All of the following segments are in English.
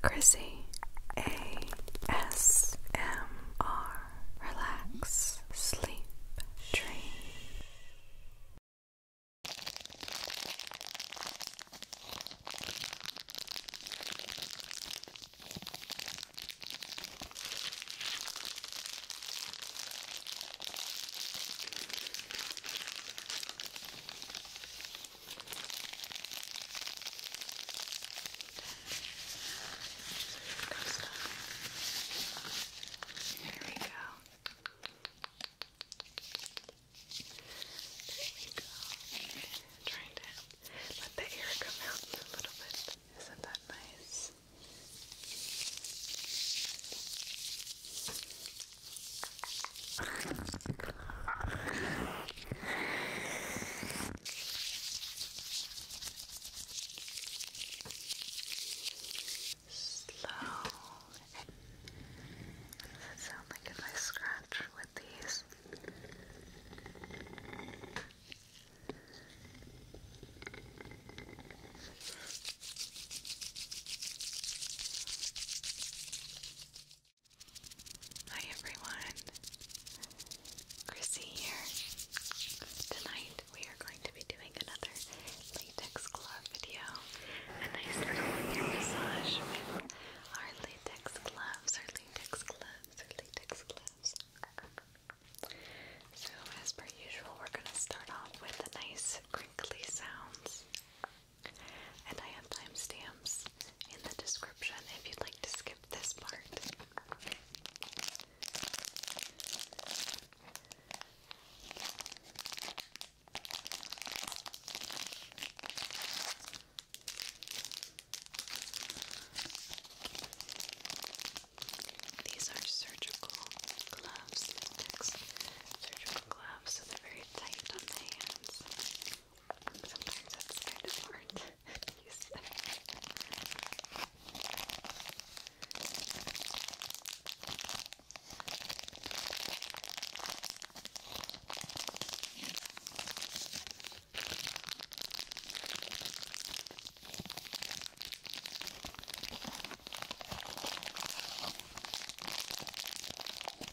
Chrissy ASMR Relax Sleep Dream there we go. There we go. I'm trying to let the air come out a little bit. Isn't that nice? Slow. Does it sound like if I scratch with these? Hi everyone, Chrissy here. Tonight we are going to be doing another latex glove video, a nice little massage with our latex gloves, our latex gloves, our latex gloves. So as per usual, we're going to start off with the nice crinkly sounds. And I have timestamps in the description if you'd like to skip this part. These are surgical gloves, surgical gloves, so they're very tight on the hands. Sometimes that's kind of hard to use them. All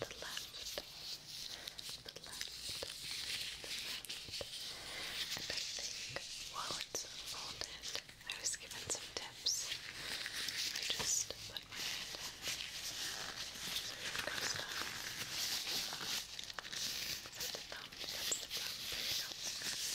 the left, the left, the left. And I think while it's folded, I was given some tips. I just put my hand in, just goes down. That's the thumb, that's the thumb, there you go. Good.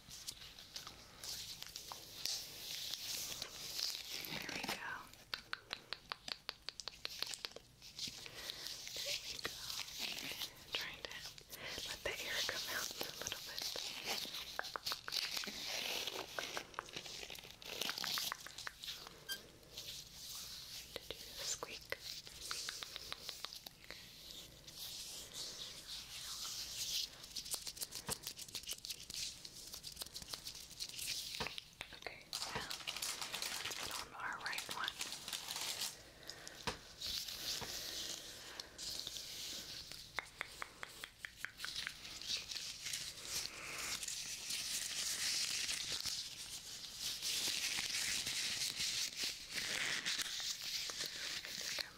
There we go. There we go. I'm trying to let the air come out a little bit. Did you squeak? Okay. Okay, now let's put on our right one. I think I'm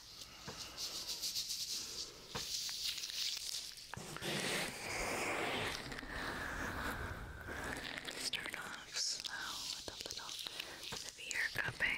Start off slow with a little severe cupping.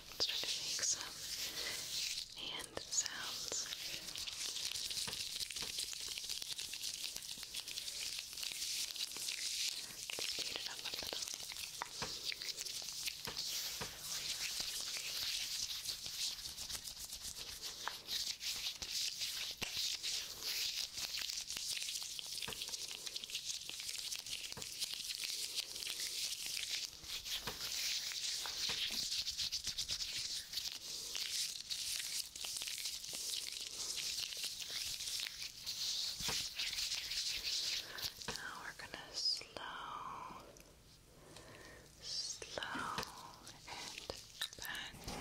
Let's try to make some hand sounds. Just heat it up a little. Just now we're gonna slow, slow and back down.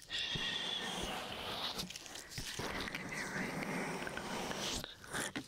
Give your right hand a little bit. Doing great.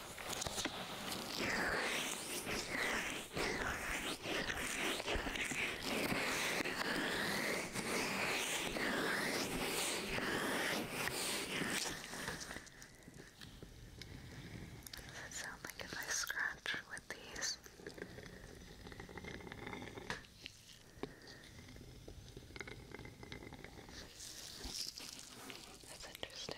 Does it sound like if I scratch with these? That's interesting.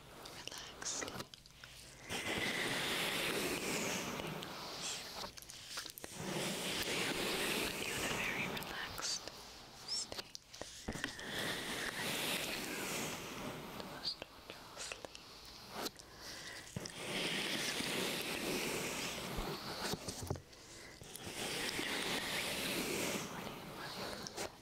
relaxed. You're in a very relaxed state. The most wonderful sleep. Morning, my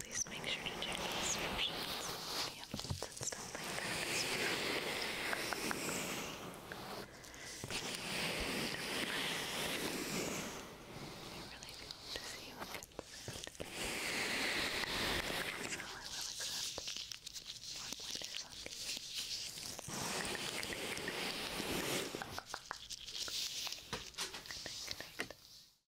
Please make sure to check the descriptions for any updates and stuff like that as well. I really do hope to see you again soon. So I will accept one pointers on you. Good night, good night, good night. Good night, good night.